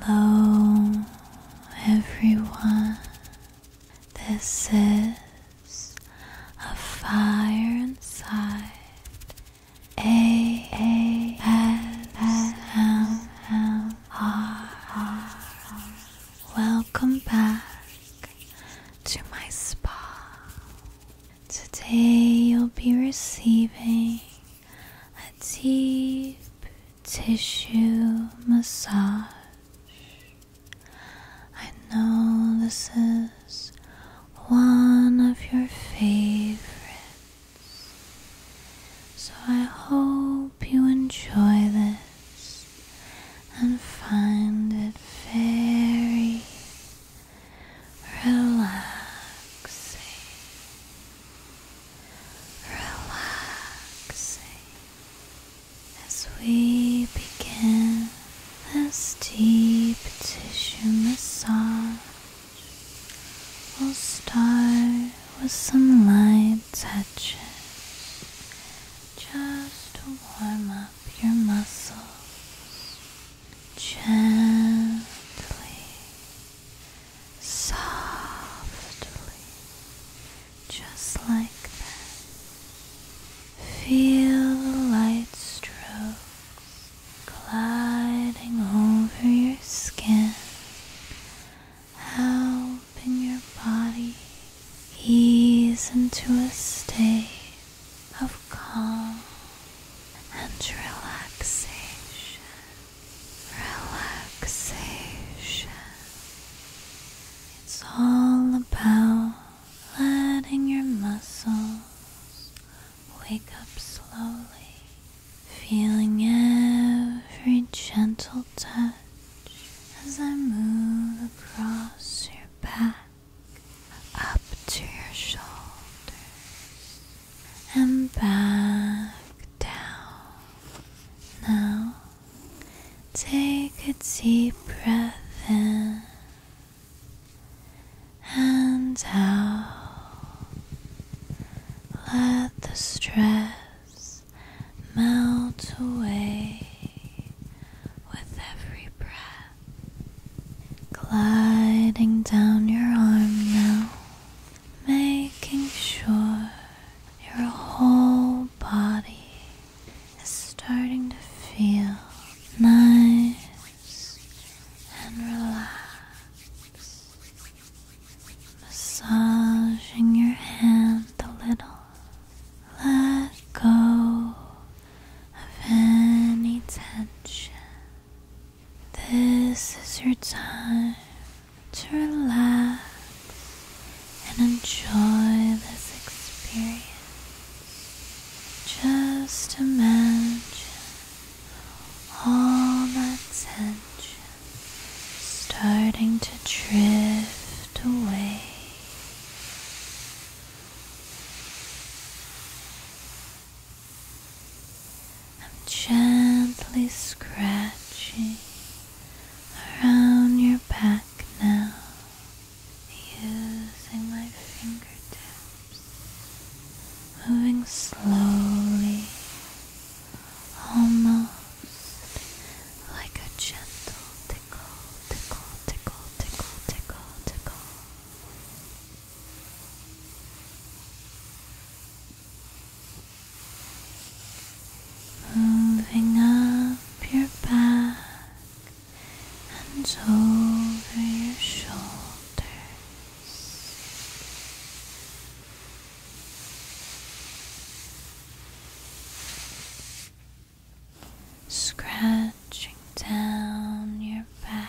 Hello, everyone. This is a fire inside. A A S S M M R. Welcome back to my spa. Today you'll be receiving a deep tissue massage. I know this is one of your favorites, so I hope you enjoy this and find it very relaxing relaxing as we begin this deep tissue massage. We'll start with some light touches just to warm up your muscles gently softly, just like that. Feel the light strokes gliding over your skin, helping your body ease into a state of calm and relaxation relaxation. It's all about letting your muscles wake up slowly, feeling every gentle touch as I move across your back, up to your shoulders, and back down. Now take a deep breath in and out. Let the stress melt away with every breath, gliding down your arm now making sure your whole body is starting to feel nice and relaxed. Massaging your hand a little. Let go of any tension this is your time to relax and enjoy this experience. Just imagine all that tension starting to drift away. I'm gently scratching around your back now, using my fingertips, moving slowly, almost like a gentle tickle, tickle, tickle, tickle, tickle, tickle. Moving up your back and over your shoulders, scratching down your back.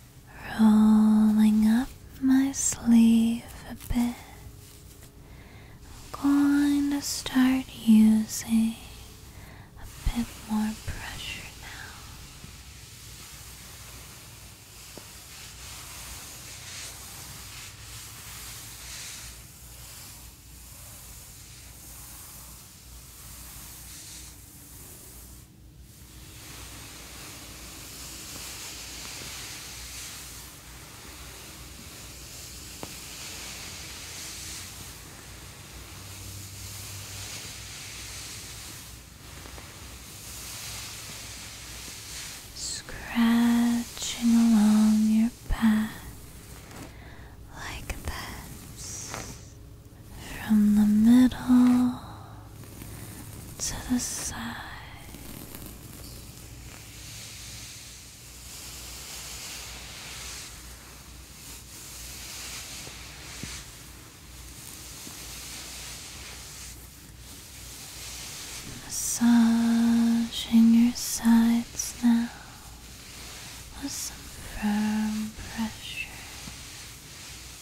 rolling up my sleeve a bit. I'm going to start using a bit more pressure now. Scratching along your path like this from the middle to the side. Massaging your sides now with some firm pressure.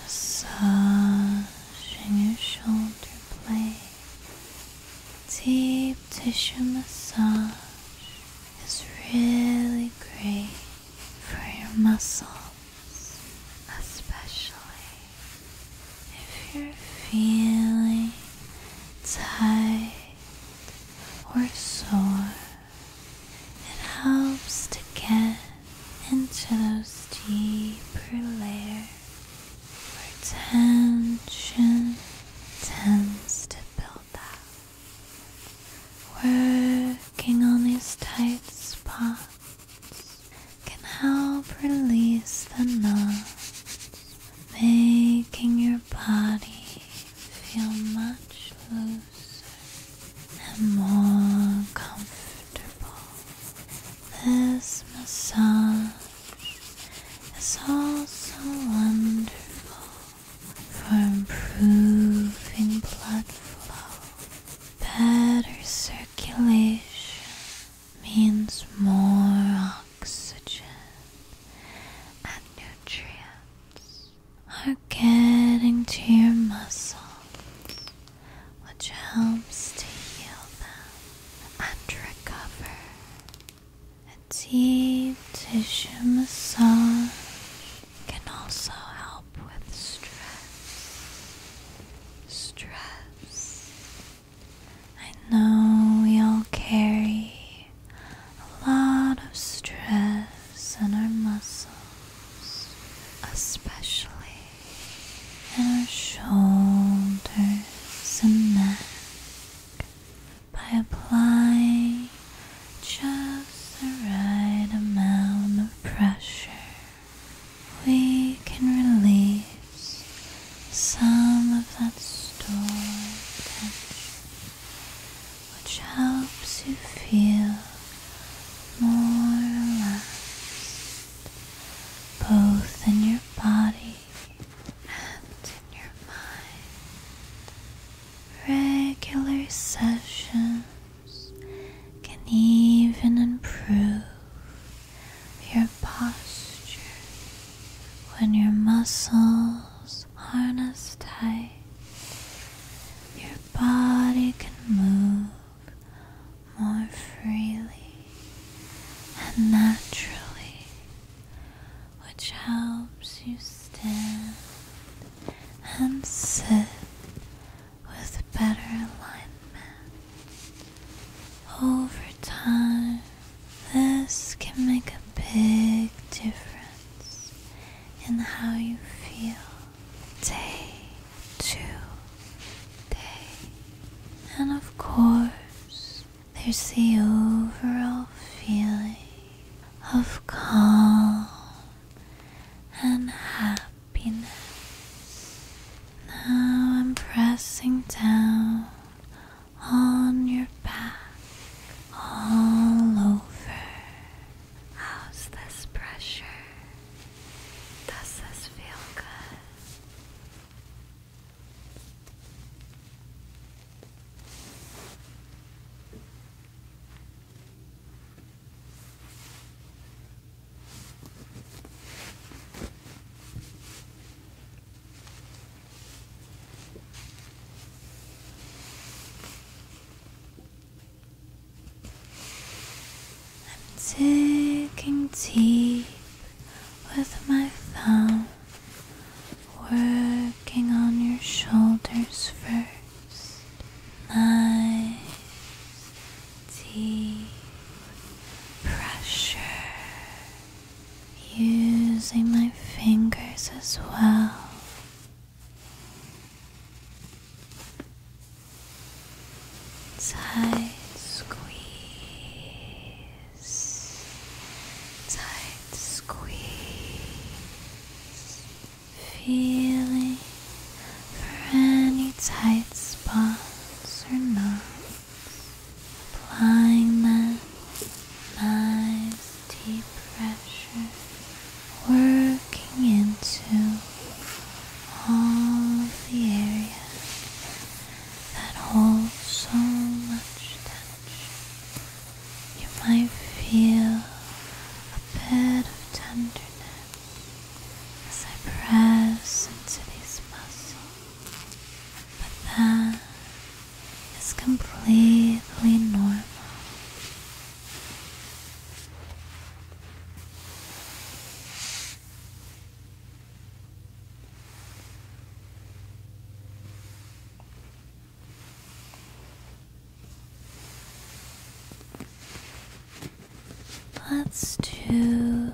Massaging your shoulder blades deep tissue massage is really great for your muscles, especially if you're feeling tight or sore. It helps to get into those deeper layers where tension tends to build up. Working on these tight spots can help release the knots, making your body feel much looser and more comfortable. This massage is also wonderful for improving blood flow. Better circulation means more oxygen and nutrients are getting to your muscles, which helps to heal them. Undercover, A deep tissue massage can also help with stress. Stress. I know we all carry a lot of stress in our muscles, especially and our shoulders and neck by applying just the right amount of pressure. We can release some of that stored tension, which helps you feel more relaxed, both in your body and in your mind. Regular sessions can even improve your posture when your muscles aren't as tight. Your body can move more freely and naturally, which helps you stand and sit with better alignment. Over time, this can make a big difference in how you feel day to day. And of course, there's the overall feeling of calm and happiness. Now I'm pressing down on your back all over. How's this pressure? Does this feel good? I'm taking deep with my thumb, working on your shoulders first. Nice deep pressure. Using my fingers as well tight squeeze, tight squeeze, feeling for any tight spots or knots, applying that nice deep pressure, working into all the areas that holds so much tension. You might feel a bit of tenderness as I press into these muscles, but that is completely normal. Let's do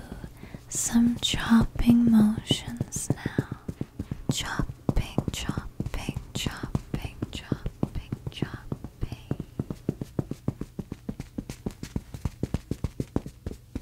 some chopping motions now. Chopping, chopping, chopping, chopping, chopping.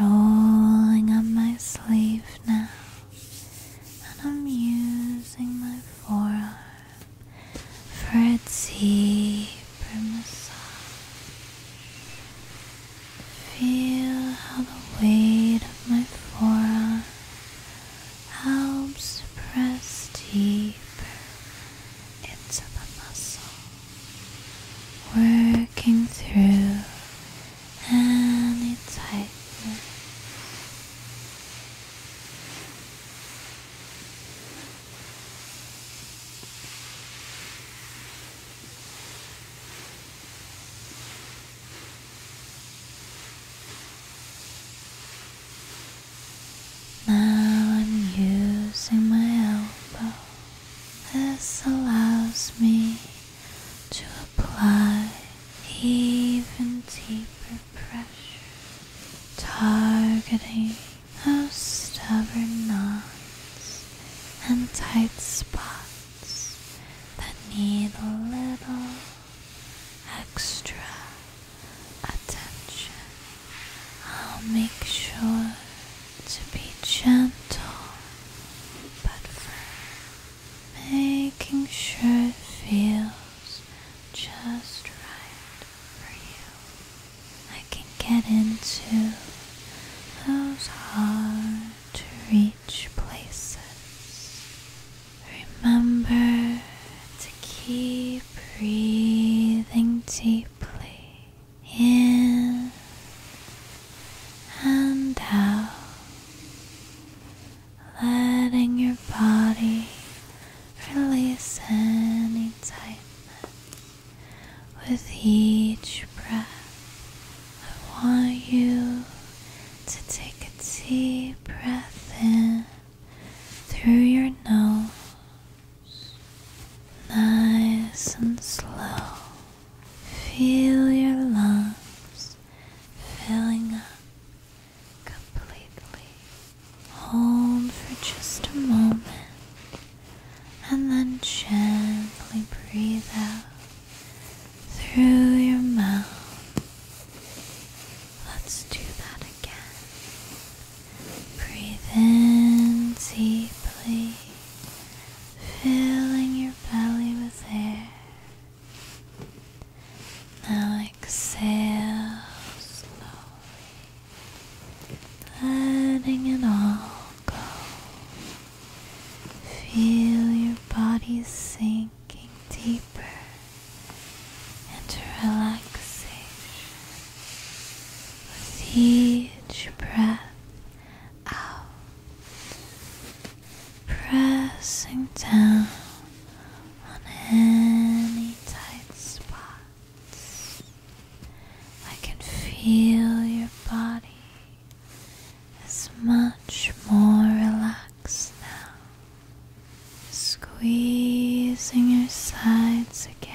Rolling on my sleeve now, and I'm using my forearm for a deeper massage. Feel how the weight of my forearm helps press deeper into the muscle, working through any tightness. Now I'm using my elbow. This allows me to apply even deeper pressure, targeting those stubborn knots and tight spots that need a little extra attention. I'll make sure to be gentle, but firm, making sure it feels just right for you. I can get into those hard to reach places. Remember to keep breathing deeply in and out, letting your body release any tightness with each breath. I want you to take a deep breath in through your nose, nice and slow. Feel your lungs filling up completely. Hold for just a moment and then gently breathe out through your mouth. Let's do that again. Breathe in deeply, filling your belly with air. Now exhale slowly, letting it all go. Feel your body sink sinking deeper into relaxation with each breath out, pressing down on any tight spots. I can feel your body is much more relaxed relax Squeezing your sides again.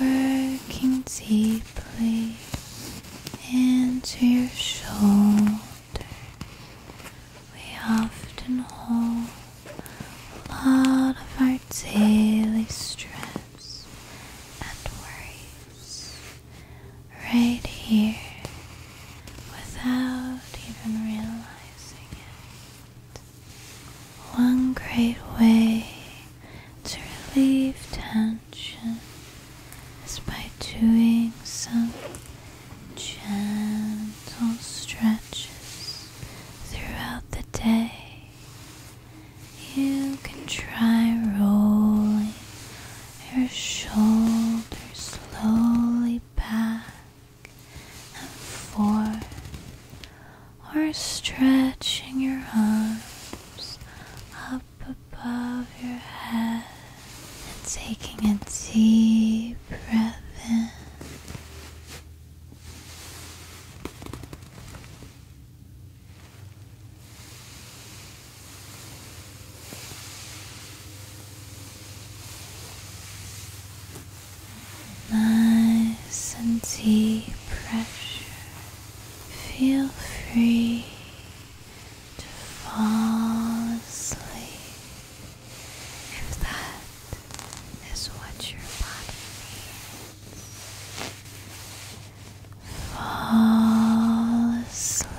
Working deeply into your shoulder, we often hold a lot of our daily stress and worries right here without even realizing it. One great way to relieve tension is by doing some gentle stretches throughout the day. You can try rolling your shoulders slowly back and forth, or stretching your arms up above your head and taking a deep breath in Nice and deep pressure. Feel free to fall asleep if that is what your body needs. Fall asleep.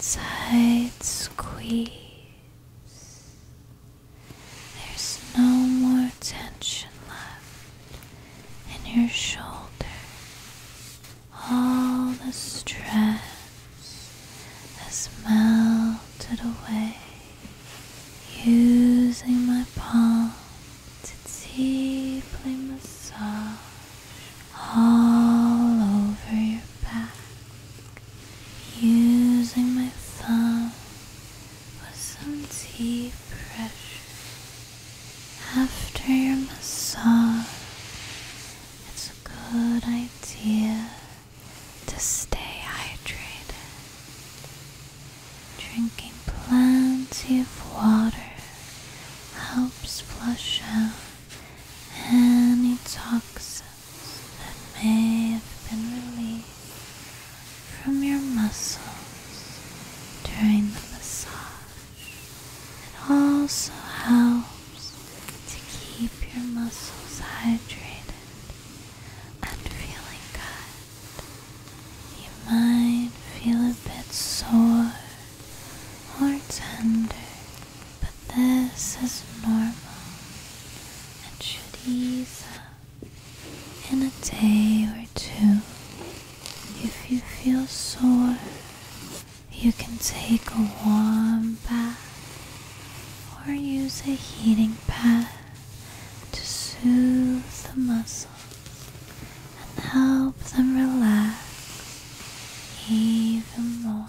Side squeeze. There's no more tension left in your shoulder all the stress has melted away using my palm to deeply massage all over your back using my thumb with some deep pressure after your massage, it's a good idea to stay hydrated. Drinking plenty of water helps flush out any toxins that may have been released from your muscles during the massage. It also helps to keep your muscles hydrated and feeling good. You might feel a bit sore or tender, but this is normal and should ease up in a day or two. If you feel sore, you can take a warm bath or use a heating pad to soothe the muscles and help them relax even more.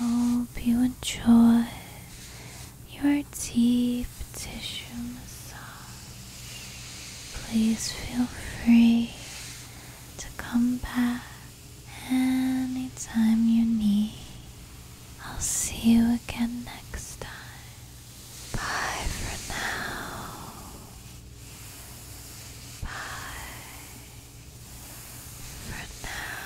I hope you enjoy your deep tissue massage. Please feel free to come back anytime you need. I'll see you again next time. Bye for now. Bye for now.